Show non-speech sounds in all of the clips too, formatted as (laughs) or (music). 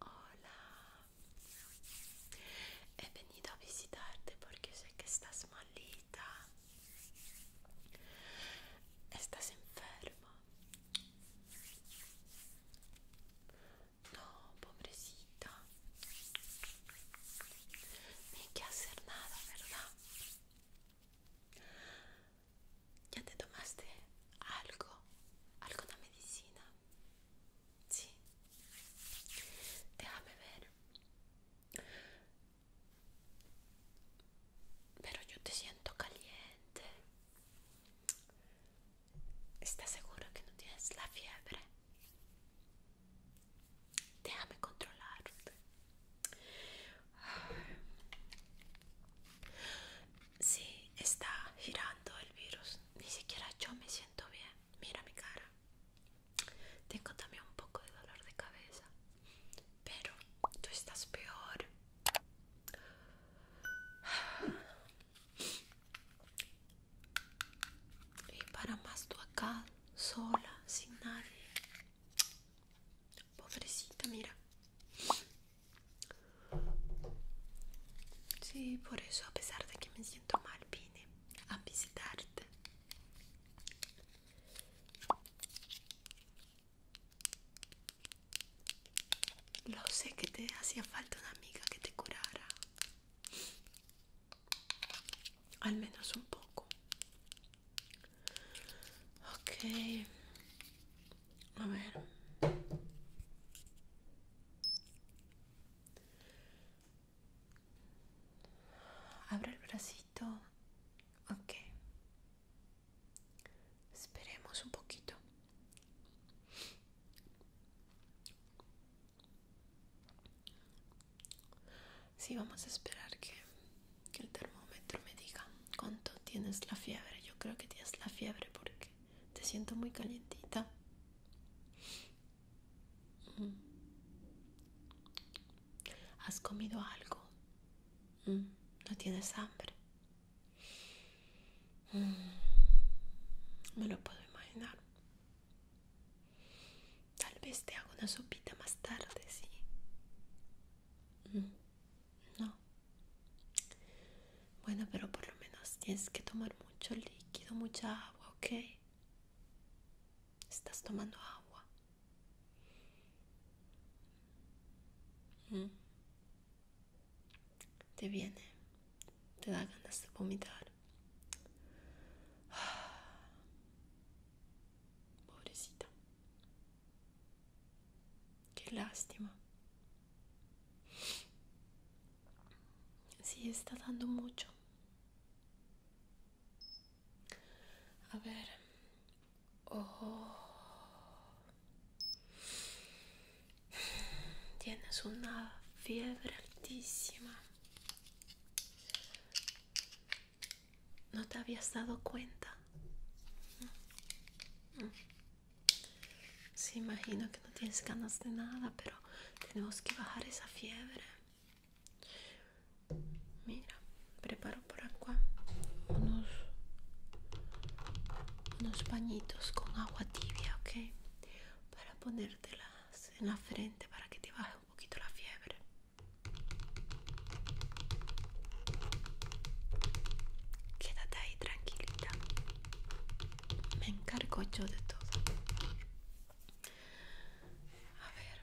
Hola, he venido a visitarte porque sé que estás malita. Estás enferma. No, pobrecita. Ni hay que hacer nada, ¿verdad? ¿Ya te tomaste algo? ¿Alguna medicina? Sí. Déjame ver. Pero yo te siento caliente. ¿Estás seguro que no tienes la fiebre? Déjame controlarte. Sí, está girando el virus. Ni siquiera yo me siento bien. Mira mi cara. Tengo también un poco de dolor de cabeza. Pero tú estás peor. Y para más tú acá, sola, sin nadie. Pobrecita, mira. Sí, por eso a pesar de que me siento mal vine a visitarte. Lo sé que te hacía falta una amiga que te curara. Al menos un poco. Ok. A ver. Abre el bracito. Ok. Esperemos un poquito. Sí, vamos a esperar que que el termómetro me diga cuánto tienes la fiebre. Yo creo que tienes la fiebre porque te siento muy calientita. Mm. ¿Has comido algo? Mm. ¿No tienes hambre? Mm. Me lo puedo imaginar. Tal vez te hago una sopita más tarde, ¿sí? No. Bueno, pero por lo menos tienes que tomar mucho líquido, mucha agua, ¿ok? Estás tomando agua. Mm. Te viene, te da ganas de vomitar. (sighs) Pobrecita. Qué lástima. Sí, está dando mucho. A ver. Oh. Tienes una fiebre altísima. ¿No te habías dado cuenta? Se imagino que no tienes ganas de nada, pero tenemos que bajar esa fiebre. Mira, preparo por acá unos, unos pañitos con agua tibia, ¿ok? Para ponértelas en la frente para que te baje un poquito la fiebre. Quédate ahí tranquilita. Me encargo yo de todo. A ver.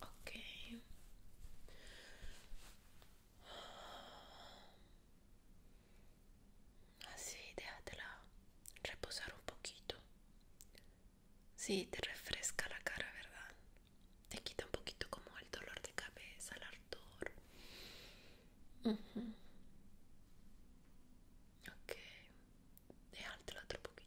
Ok. Así, déjatela reposar un poquito. Sí, te refresca la cara, ¿verdad? Te quita un poquito como el dolor de cabeza, el ardor. Okay. Ok, otro poquito.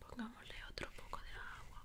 Pongámosle otro poco de agua.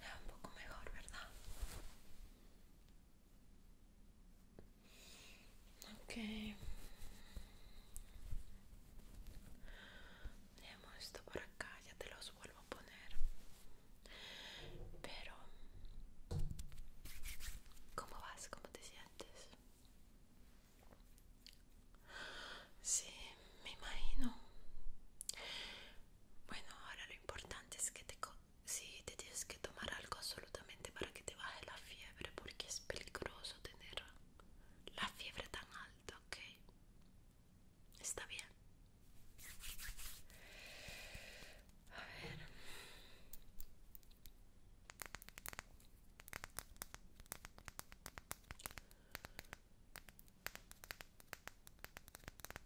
Ya un poco mejor, ¿verdad? Ok. Dejemos esto por acá, ya te los vuelvo a poner. Pero, ¿cómo vas? ¿Cómo te sientes? Sí, me imagino. Bueno, ahora lo importante es que te, sí, te tienes que tomar algo absolutamente para que te baje la fiebre, porque es peligroso tener la fiebre tan alta, ¿ok? Está bien. A ver.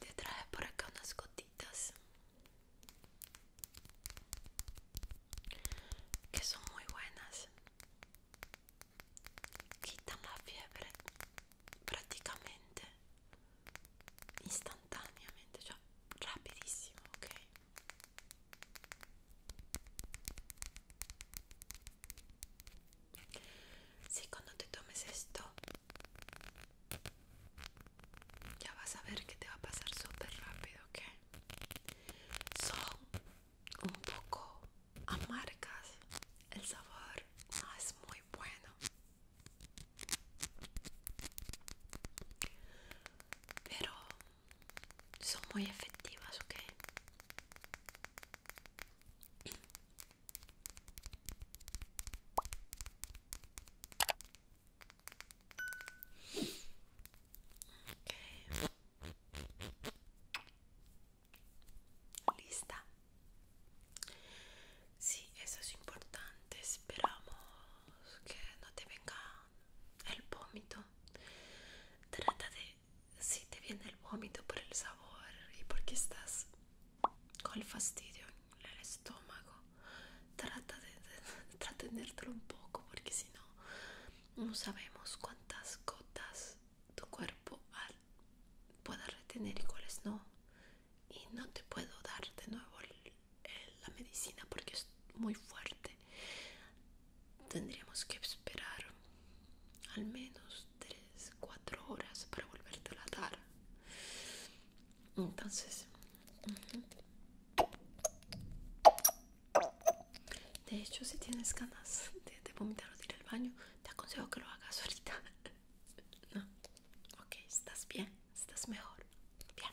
Te trae por acá unas gotitas que son muy buenas. Quitan la fiebre prácticamente instantáneamente, rapidísimo rapidissimo, ok? Si cuando te tomes esto, ya vas a ver que te va a pasar súper rápido, Que Son un poco amargas, el sabor es muy bueno, pero son muy efectivas, ¿ok? okay. Lista. Sí, eso es importante. Esperamos que no te venga el vómito. Trata de si te viene el vómito por el sabor y porque estás con el fastidio en el estómago. Trata de, de, un poco porque si no, no sabemos cuántas gotas tu cuerpo pueda retener y cuáles no. Y no te puedo dar de nuevo la medicina porque muy fuerte tendríamos que esperar al menos 3-4 horas para volverte a dar entonces de hecho si tienes ganas de, vomitar o de ir al baño te aconsejo que lo hagas ahorita (laughs) no ok estás bien estás mejor bien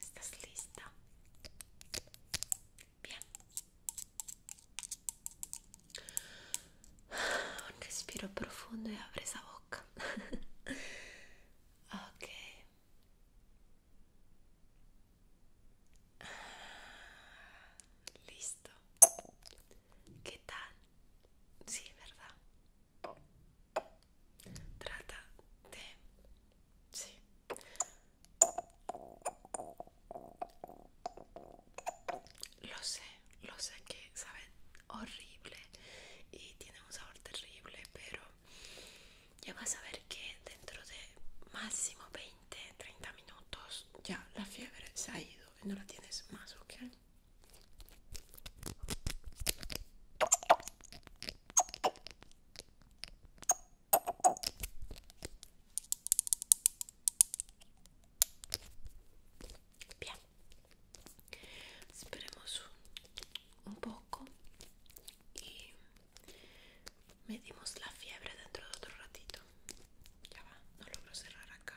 ¿Estás lista? Bien. Un respiro profundo y abre esa boca. (laughs) ok. Listo. ¿Qué tal? Sí, ¿verdad? Trata de... Sí. Lo sé, lo sé que sabe horrible y tiene un sabor terrible, pero ya vas a ver que dentro de máximo 20, 30 minutos ya la fiebre se ha ido y no la tienes más, ¿ok? Bien, esperemos un, poco y medimos la fiebre dentro de otro ratito. Ya va, no logro cerrar acá.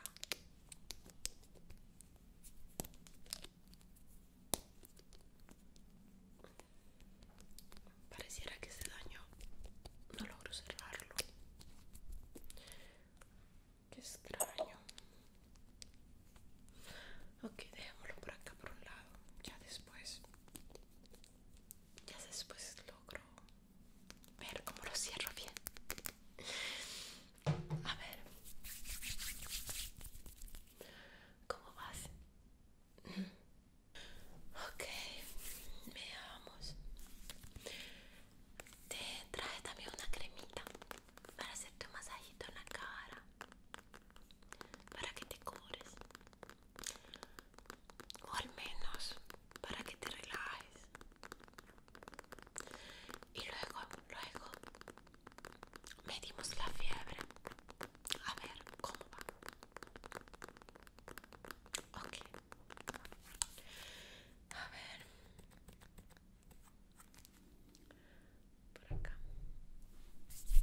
Pareciera que se dañó no logro cerrarlo. Qué extraño. Ok, dejémoslo por acá por un lado. Ya después. Ya después logro ver cómo lo cierro bien. A ver. ¿Cómo vas? Ok, veamos. Te traje también una cremita para hacerte un masajito en la cara. Para que te cures. O al menos para que te relajes. Y luego, luego Medimos la fiebre. A ver, ¿cómo va? Ok. A ver. Por acá. espera.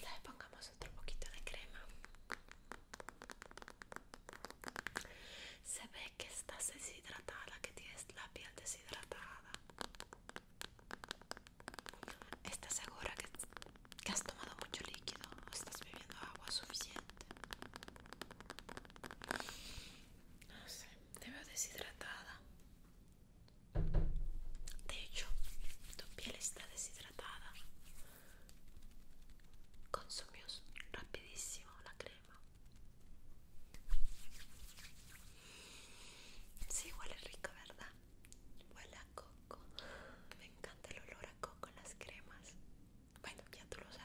Le pongamos otro poquito de crema. Se ve que estás deshidratada, que tienes la piel deshidratada. ¿Estás segura que que has tomado mucho líquido estás bebiendo agua suficiente. No sé, te veo deshidratada. De hecho, tu piel está deshidratada. Consumió rapidísimo la crema. Sí, huele rico, ¿verdad? Huele a coco. Me encanta el olor con las cremas. Bueno, ya tú lo sabes.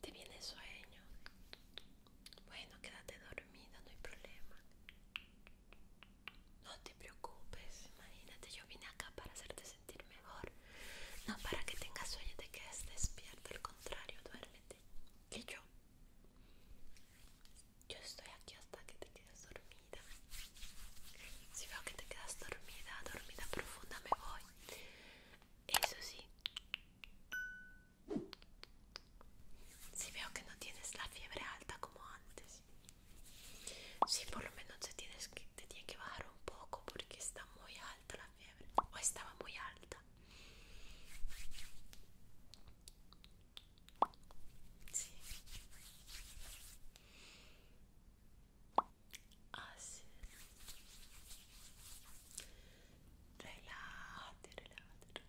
¿Te viene sueño? Bueno, quédate dormido, no hay problema. No te preocupes, imagínate, yo vine acá para hacerte sentir mejor, no para que tengas sueño de que estés despierto, al contrario, duérmete. Que yo, yo estoy aquí hasta que te quedes dormida. Si veo que te quedas dormida, dormida profunda, me voy. Eso sí. Si veo que no tienes la fiebre alta como antes, Sí, por lo menos te tienes que, tiene que bajar un poco porque está muy alta la fiebre. O estaba muy alta. Sí. Así. sí. relájate, relájate.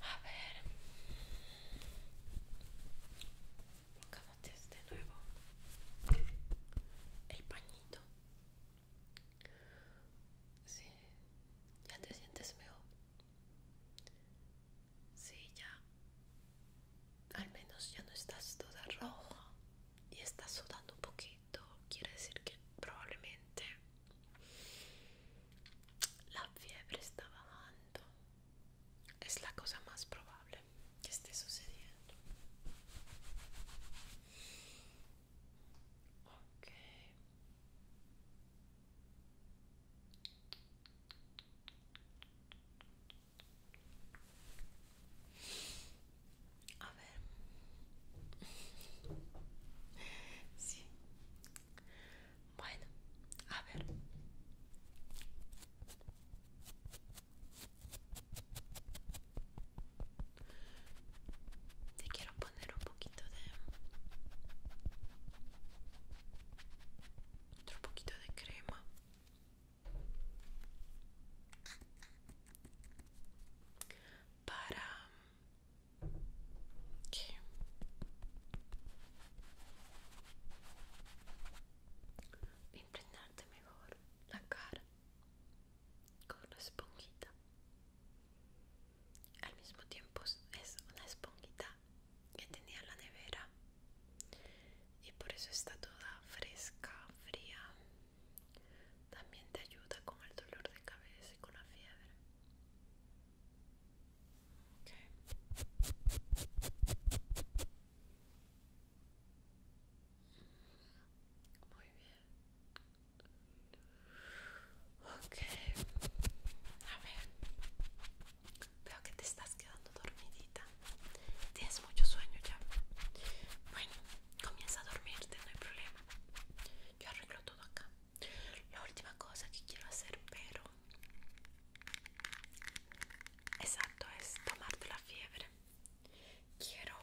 A ver. Cámate de este nuevo el pañito. Sí. ¿Ya te sientes mejor? Sí, ya. Al menos ya no estás toda roja y está sudando un poquito, quiere decir que probablemente la fiebre está bajando. Es la cosa más probable que esté sucediendo. Ok. A ver. (laughs) Sí. Bueno, a ver. Te quiero poner un poquito de otro poquito de crema para que impregnarte mejor la cara con la esponjita al mismo tiempo es una esponjita que tenía en la nevera y por eso está toda fresca, fría también te ayuda con el dolor de cabeza y con la fiebre. Okay. Muy bien. Ok. A ver. Veo que te estás quedando dormidita. Tienes mucho sueño ya. Bueno, Comienza a dormirte, no hay problema. Yo arreglo todo acá. La última cosa que quiero hacer, pero... Exacto, es tomarte la fiebre. Quiero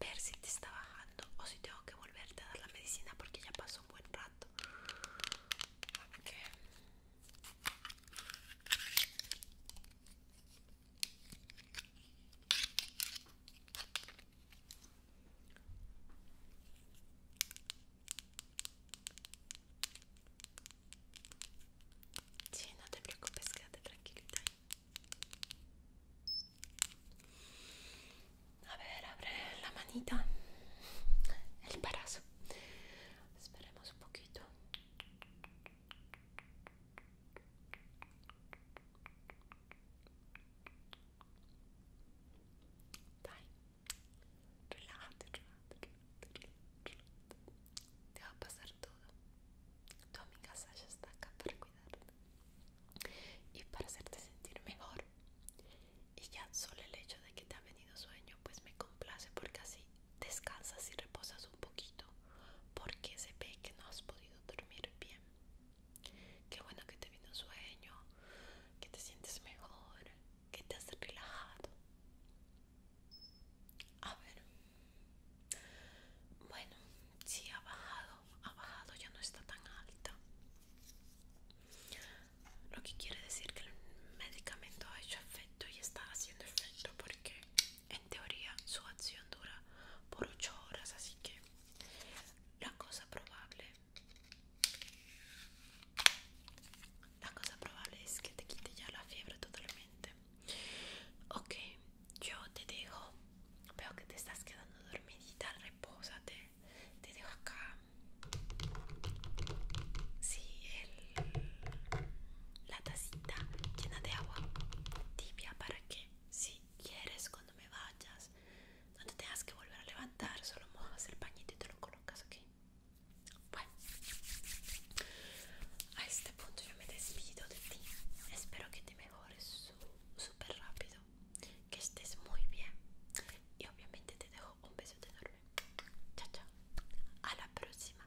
ver si te está bajando o si tengo que volverte a dar la medicina porque ya pasó un buen rato. Sí, no te preocupes, quédate tranquilita. A ver, abre la manita, el brazo. Esperemos un poquito relájate, Te va a pasar todo. Tu amiga Sasha está acá para cuidarte y para hacerte sentir mejor. Y ya solo el hecho de que te ha venido sueño, pues me complace porque así descansas y reposas un poquito porque se ve que no has podido dormir bien. Qué bueno que te vino sueño, que te sientes mejor, que te has relajado. A ver. Bueno, si ha bajado, ha bajado, ya no está tan alta. Lo que quiere decir que el medicamento ha hecho efecto y está haciendo efecto porque en teoría su acción dura por 8 horas así que la cosa probable la cosa probable es que te quite ya la fiebre totalmente ok yo te dejo veo que te estás quedando dormidita repósate te dejo acá sí el la tacita llena de agua tibia para que si quieres cuando me vayas no te tengas que volver a levantar solo mojas el pañito y te lo colocas aquí bueno a este punto yo me despido de ti espero que te mejores súper rápido que estés muy bien y obviamente te dejo un beso enorme chao chao a la próxima